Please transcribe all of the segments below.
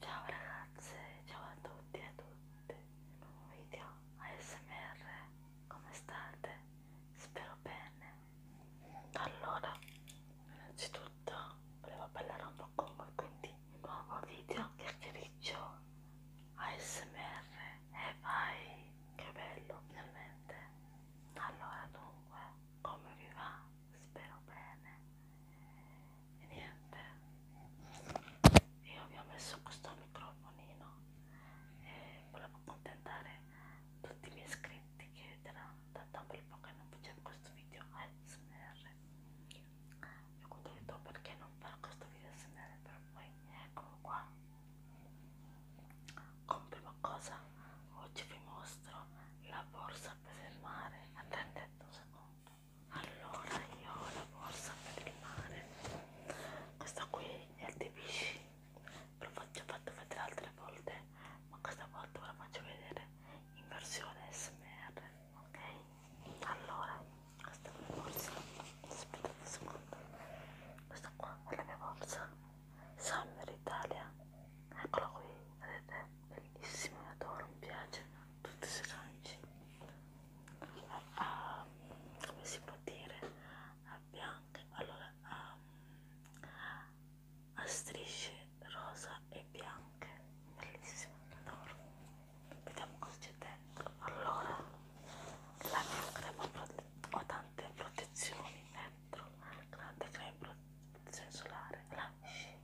Ciao ragazze, ciao a tutti e a tutte, nuovo video ASMR, come state? Spero bene. Allora, innanzitutto volevo parlare un po' con voi, quindi nuovo video chiacchiericcio ASMR e vai, che bello ovviamente. Allora dunque, come vi va? spero bene e niente io vi ho messo questo microfonino e volevo contentare tutti i miei iscritti che erano da un bel po' che non facevo questo video ASMR io conto perché non fare questo video ASMR per voi eccolo qua come prima cosa oggi vi mostro la borsa per il mare attendete aspetta un secondo allora io ho la borsa per il mare questa qui è il TBC ve l'ho già fatto vedere altre volte ma questa volta ve la faccio vedere in versione smr ok allora questa è la mia borsa aspettate un secondo questa qua è la mia borsa Summer Italia eccola qui vedete bellissimo, lo adoro, mi piace tutti i lanci um, come si può dire a bianche allora um, a strisce rosa e bianche bellissimo adoro vediamo cosa c'è dentro allora la mia crema ho tante protezioni dentro grande crema protezione solare la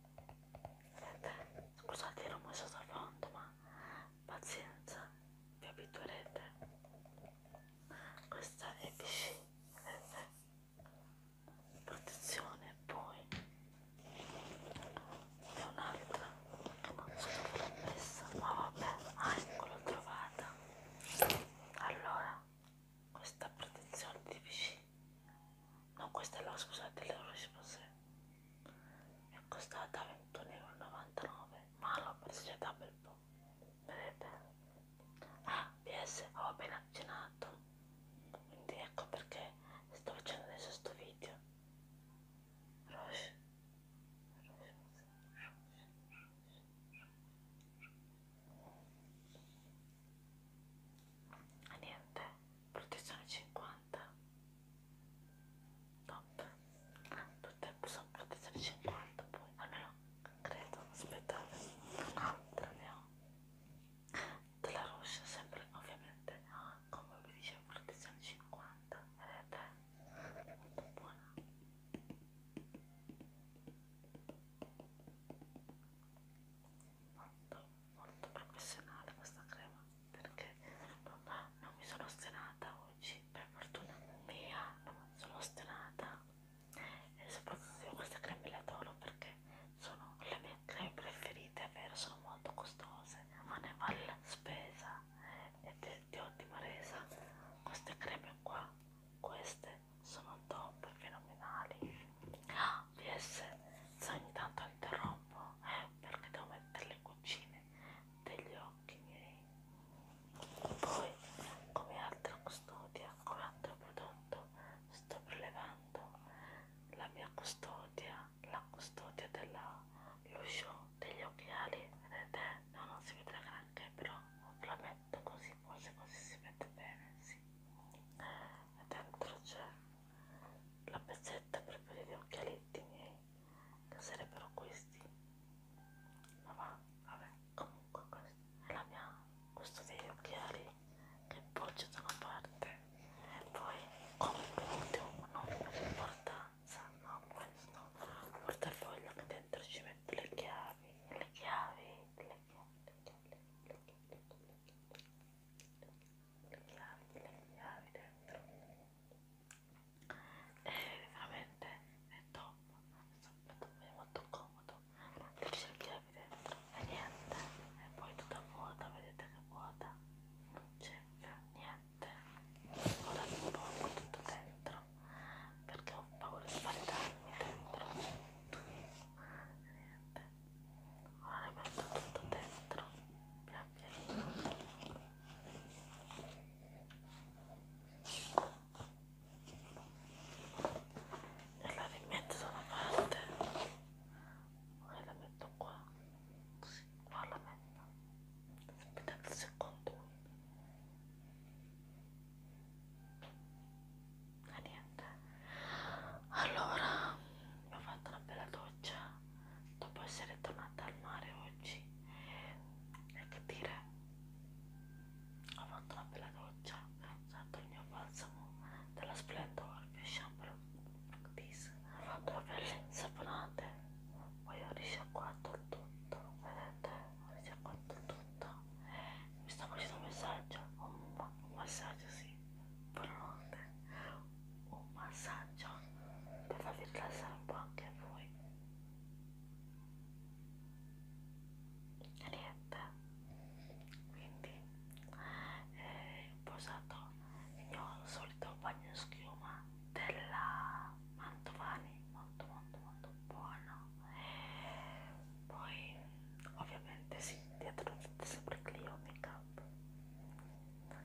Sente, scusate il rumore sottofondo, ma pazienza, vi abituerete. Questa è PC, vedete? Protezione, poi è un'altra che non so dove l'ho messa, ma vabbè, ah, ecco l'ho trovata. Allora, questa protezione di PC no questa è la scusa delle risposte è costata 21,99€ ma l'ho presa da bel po' vedete? ah PS ho appena cenato quindi ecco perché sto facendo adesso sto video Roche. Roche. E niente, protezione 50 50 top purtroppo sono protezione 50 poi almeno credo aspettate un'altra ne ho della Roche sempre ovviamente come vi dicevo protezione 50 vedete è molto buona molto molto professionale questa crema perché papà non mi sono ostinata oggi per fortuna mia non mi sono ostinata e soprattutto queste creme le adoro perché sono le mie creme preferite è vero sono molto costose ma ne vale la spesa ed è di ottima resa queste creme qua queste sono top fenomenali Ah, PS, se ogni tanto interrompo eh, perché devo mettere le cucine degli occhi miei. Poi, come altra custodia, come altro prodotto, sto prelevando la mia custodia, la custodia dell'uscio degli occhiali. Vedete? No, non si vede granché, però la metto così, forse così si vede bene, sì. E dentro c'è la pezzetta per vedere gli occhialetti miei che sarebbero questi ma va, vabbè comunque questa è la mia questo degli occhiali che appoggio da una parte e poi come ultimo non per importanza no questo il portafoglio che dentro ci metto le chiavi le chiavi le chiavi le chiavi le chiavi le chiavi, le chiavi, le chiavi le chiavi, le chiavi dentro e veramente è top è molto comodo le chiavi dentro e niente e poi tutta vuota vedete che vuota non c'è niente ora un po' tutto dentro perché ho paura di fare danni dentro niente ora le metto tutto dentro pian pianino e la rimetto da una parte ora la metto qua così qua la metto aspettate un secondo Ah, niente niente allora mi ho fatto una bella doccia dopo essere tornata al mare oggi e che dire ho fatto una bella doccia ho usato il mio balsamo della Splendor il shampoo This. ho fatto le pelle saponate poi ho risciacquato tutto vedete ho risciacquato tutto mi sta facendo un messaggio un, un messaggio sì pronte un massaggio per farvi rilassare un po' anche voi e niente quindi eh, ho usato il mio solito bagno schiuma della Mantovani molto molto molto buono e poi ovviamente sì, dietro c'è sempre Clio Makeup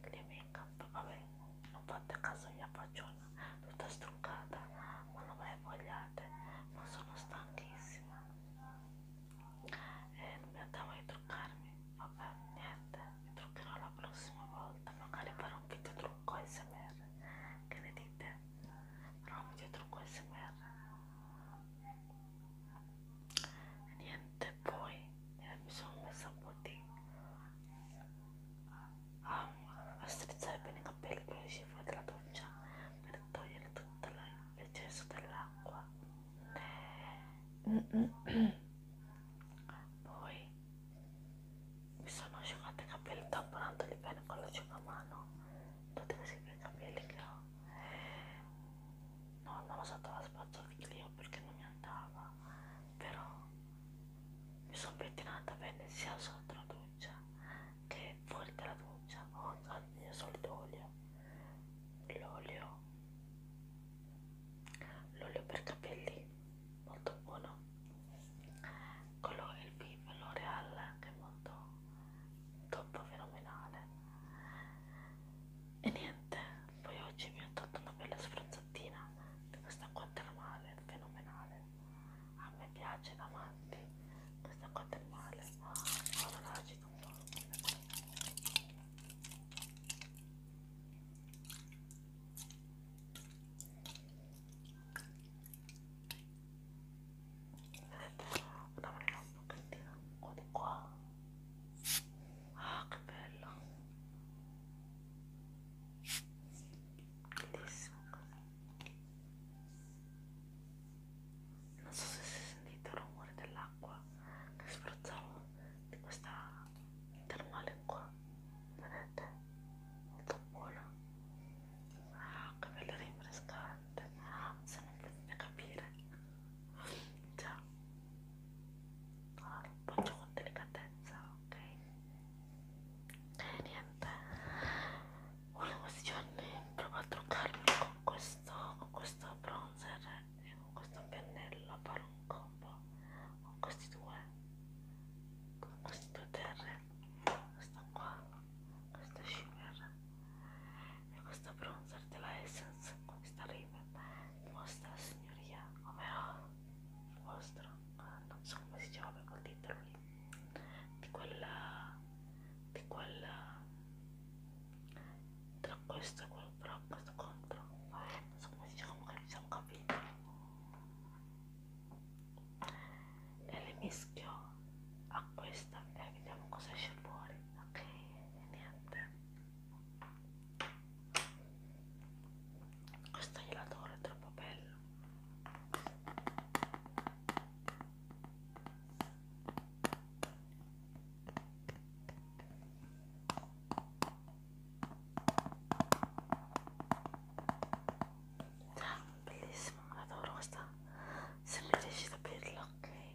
Clio Makeup, vabbè, non fate caso mia facciona tutta struccata, ma non me vogliate, ma sono stanchissima e eh, non mi andavo di truccarmi, vabbè, niente, mi truccherò la prossima volta, magari farò un video trucco smr, che ne dite? farò un video trucco smr niente poi eh, mi sono messa un po' di a, ah, a strizzare bene i capelli quando uscivo dalla doccia per togliere tutto l'eccesso dell'acqua poi mi sono asciugato i capelli tamponandoli bene con l'asciugamano tutti questi bei capelli che ho no andava sotto la spazzolino perché non mi andava però mi sono pettinata bene sia sotto la doccia che fuori dalla doccia ho usato il mio solito olio l'olio l'olio per capelli molto buono quello è il Vive L'Oreal che è molto troppo fenomenale e niente poi oggi mi ho tolto una bella sfronzatina di questa qua termale fenomenale a me piace da matti questa qua termale ora la agito un po' una manina un pochettino qua di qua ah che bello bellissimo non so se si è sentito il rumore dell'acqua che spruzzavo di questa termale qua vedete? molto buona ah che bello rinfrescante sembra non potete capire cioè, allora, lo faccio con delicatezza, ok? E niente, volevo questi giorni provo a truccarmi con questo, con questo bronzer e con questo pennello, fare un combo con questi due, con questi due terre, questo qua questa shimmer e questa bronzer della Essence questa Raven vostra signoria come oh, vostra oh, eh, non so come si chiama quel titolo lì di quella di quella tra questo e quello però questo contro non so come si chiama che siamo capiti e le mischio a questa e eh, vediamo cosa esce fuori ok niente questo gelatore è troppo bello Ah, bellissimo, adoro questa. Sembra riuscito a aprirla, ok?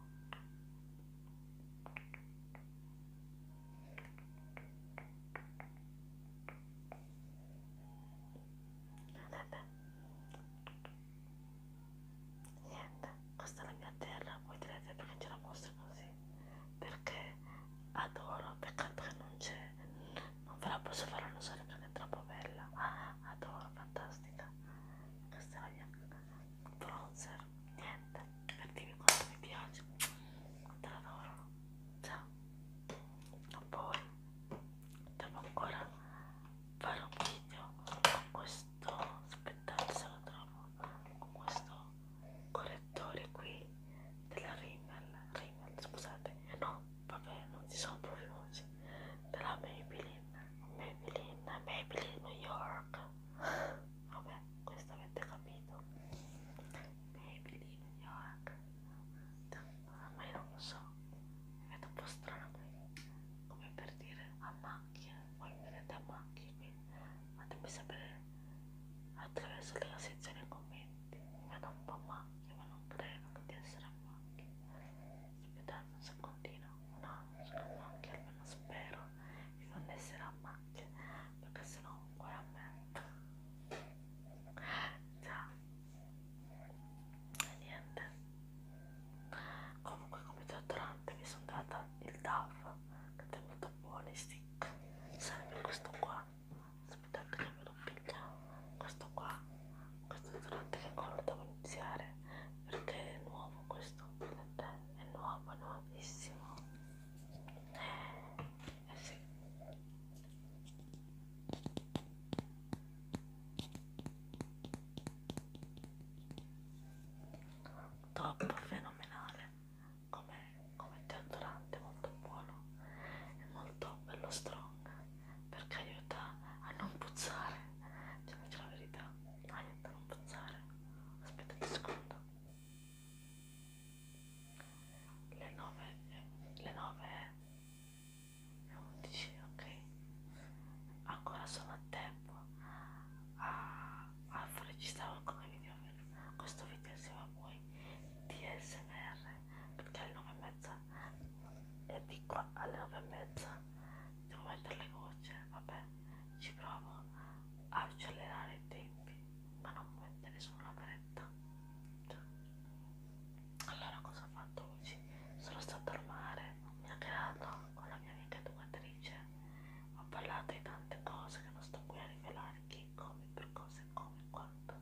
Vedete? Niente, questa è la mia terra, voi direte perché ce la mostro così? Perché adoro, peccato che non c'è, non ve la posso far usare perché è troppo bella, adoro, fantastica, questa è la mia bronzer, niente per dirvi quanto mi piace te l'adoro ciao poi devo ancora fare un video con questo aspettate se lo trovo con questo correttore qui della Rimmel Rimmel scusate no vabbè non ci sono proprio oggi della Maybelline Maybelline Maybelline New York vabbè questo avete capito Maybelline New York ma io non lo so mi vedo un po' strana come per dire a macchie voi mi vedete a macchie quindi fatemi sapere attraverso la sezione commenti mi vedo un po' a macchie ma non credo di essere a macchie vediamo un secondino no, sono macchie, almeno spero che non essere macchie perché sennò un cuore a me già e niente comunque come deodorante mi sono data il DAF che è molto buono stick sarebbe questo qua aspettate che me lo piglia questo qua questo durante che ancora devo iniziare perché è nuovo questo è nuovo è nuovissimo eh, eh sì top fenomenale come, come deodorante molto buono è molto bello strong perché aiuta a non puzzare diciamoci cioè, la verità aiuta a non puzzare aspettate un secondo le 9 le 9 e 11 ok ancora sono a tempo a, a fare ci stavo come video questo video insieme a voi di smr perché alle 9 e mezza e di qua alle 9 e mezza devo mettere le gocce vabbè ci provo a accelerare i tempi ma non mettere solo la fretta cioè, allora cosa ho fatto oggi? sono stata al mare ho chiacchierato con la mia amica educatrice ho parlato di tante cose che non sto qui a rivelare chi, come, per cose, come, quanto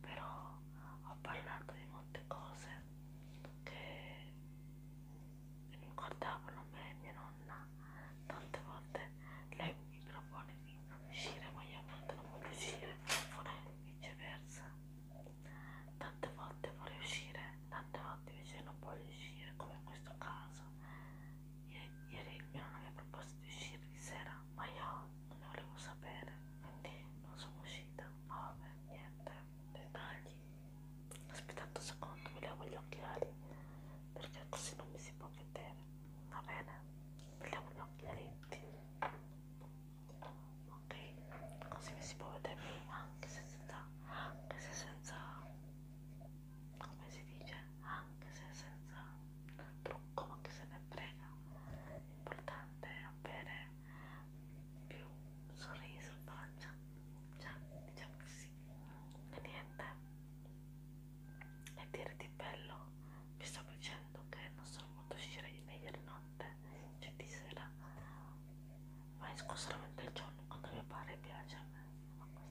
però ho parlato di molte cose che ricordavano me e mia nonna tante volte lei mi propone di uscire ma io non voglio uscire e viceversa tante volte vorrei uscire tante volte invece non voglio uscire come in questo caso ieri, ieri mia nonna mi ha proposto di uscire di sera ma io non ne volevo sapere quindi non sono uscita ma vabbè niente dettagli aspettate un secondo mi levo gli occhiali perché così non mi si può vedere va bene mi levo gli occhialetti ok così mi si può vedere anche se senza anche se senza come si dice anche se senza trucco ma che se ne frega l'importante è avere più sorriso in faccia cioè diciamo che sì e niente e dire di bello vi stavo dicendo che non sono molto uscire di meglio di notte cioè di sera ma esco solamente il giorno quando mi pare piace a me ma questo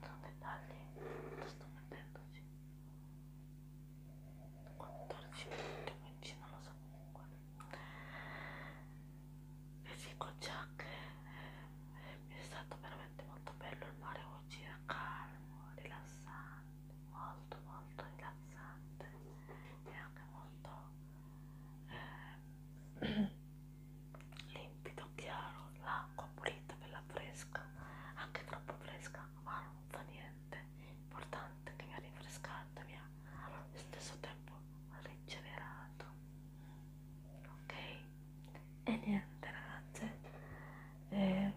sono dettagli lo sto mettendoci 14 minuti 15 non lo so comunque Vesico Jack eh, è stato veramente molto bello il mare oggi, era calmo, rilassante, molto molto rilassante e anche molto eh, limpido, chiaro, l'acqua pulita, bella fresca, anche troppo fresca, ma non fa niente nutriente importante che mi ha rinfrescato e mi ha allo stesso tempo rigenerato ok e niente ragazze eh,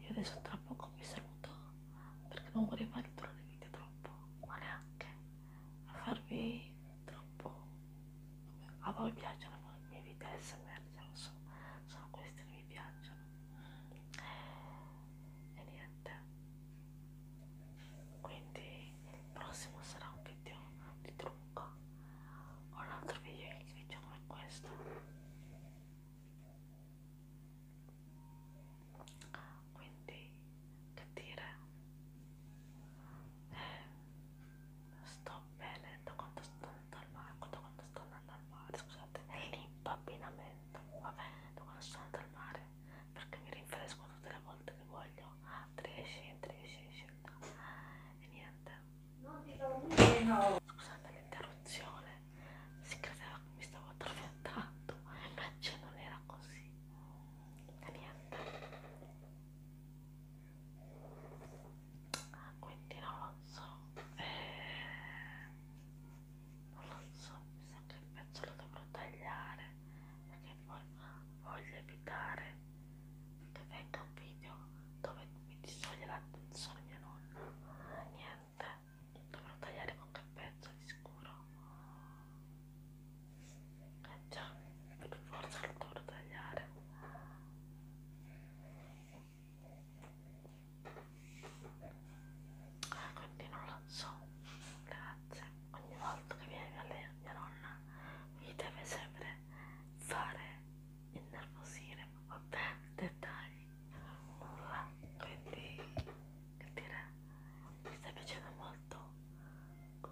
io adesso tra poco mi saluto perché non vorrei fare durare il video troppo ma neanche a farvi troppo a voi piacciono i miei video smr so, sono questi che mi piacciono e niente quindi il prossimo sarà un video di trucco o un altro video che video come questo quindi che dire eh, sto bene da quando sto andando al mare da quando sto andando al mare scusate l'impappinamento vabbè domani sono andata al mare perché mi rinfresco tutte le volte che voglio entri esci, entri esci, esci e niente scusate l'interruzione si credeva che mi stavo addormentando invece non era così e niente ah, quindi non lo so eh, non lo so, mi sa che il pezzo lo dovrò tagliare perché poi voglio evitare che venga un video dove mi distoglie l'attenzione mia nonna niente, dovrò tagliare qualche pezzo di sicuro eh già, per forza lo dovrò tagliare eh, quindi non lo so grazie ogni volta che viene mia, lei, mia nonna mi deve sempre fare innervosire proprio dettagli nulla quindi che dire mi sta piacendo molto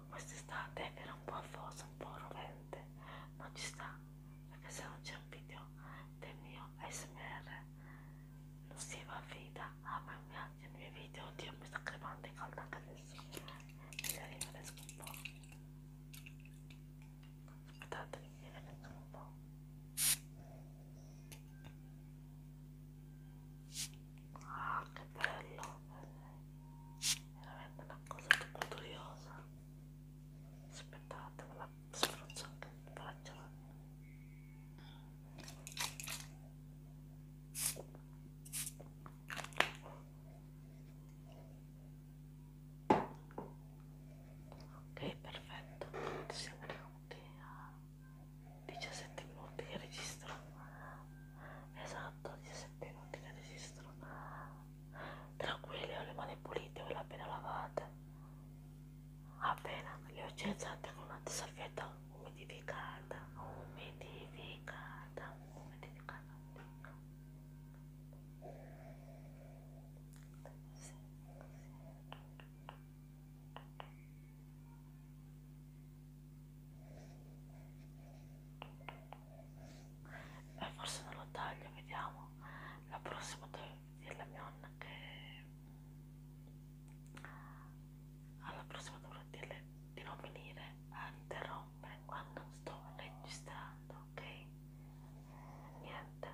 quest'estate che era un po' affosa un po' rovente non ci sta perché se non c'è un video del mio ASMR non si va vita ah ma mi piace il mio video oddio mi sta crepando è calda anche adesso magari mi riesco un po' aspettate che mi riesco un po' ah che bello veramente una cosa troppo curiosa aspettate me la la sfrozzata in faccia ok perfetto siamo venuti a 17 minuti che registro esatto 17 minuti che registro tranquilli ho le mani pulite ve le appena lavate appena le ho utilizzate con una salvietta umidificata umidificata umidificata sì, sì. beh forse non lo taglio vediamo la prossima devo dire alla mia nonna che alla prossima dovrò dirle di non venire a interrompere quando sto registrando, ok? Niente.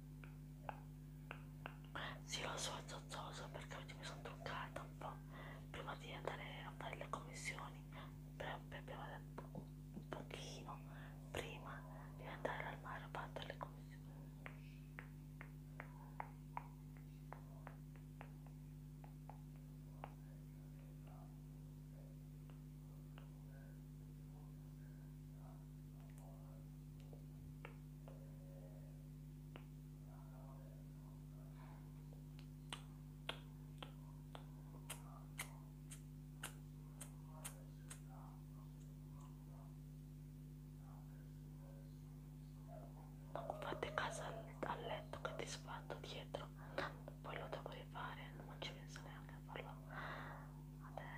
Sì, lo so, è zozzoso perché oggi mi sono truccata un po' prima di andare a fare le commissioni. Però abbiamo detto un pochino prima di andare al mare a fare le commissioni. Fate caso al, al letto che ti sfatto dietro, poi lo devo rifare, non ci penso neanche a farlo adesso. adesso.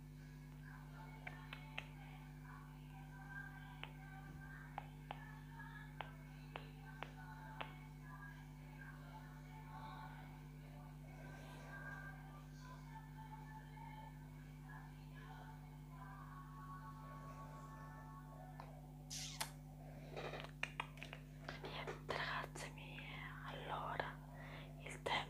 Ragazze mie, allora il tema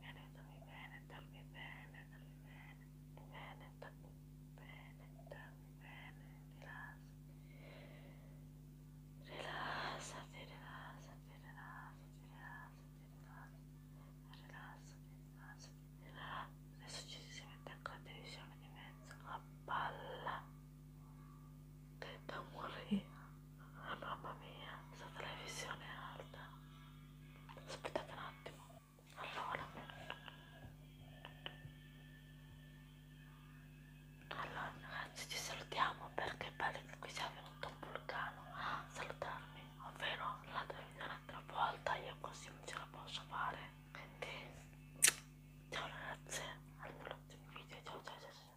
Veneto, mi Veneta, mi Veneta, mi Veneta, mi Veneta, mi Veneta, mi rilassati, rilassati, rilassati, rilassati, rilassati, rilassati, rilassati, adesso ci si mette ancora televisione di mezzo, una palla che da morire, mamma mia, questa televisione è alta aspettate un attimo allora allora ragazzi ci salutiamo perché pare che qui sia venuto un vulcano a ah, salutarmi ovvero la dovrei un'altra volta io così non ce la posso fare quindi ciao ragazze al prossimo video ciao ciao ciao, ciao.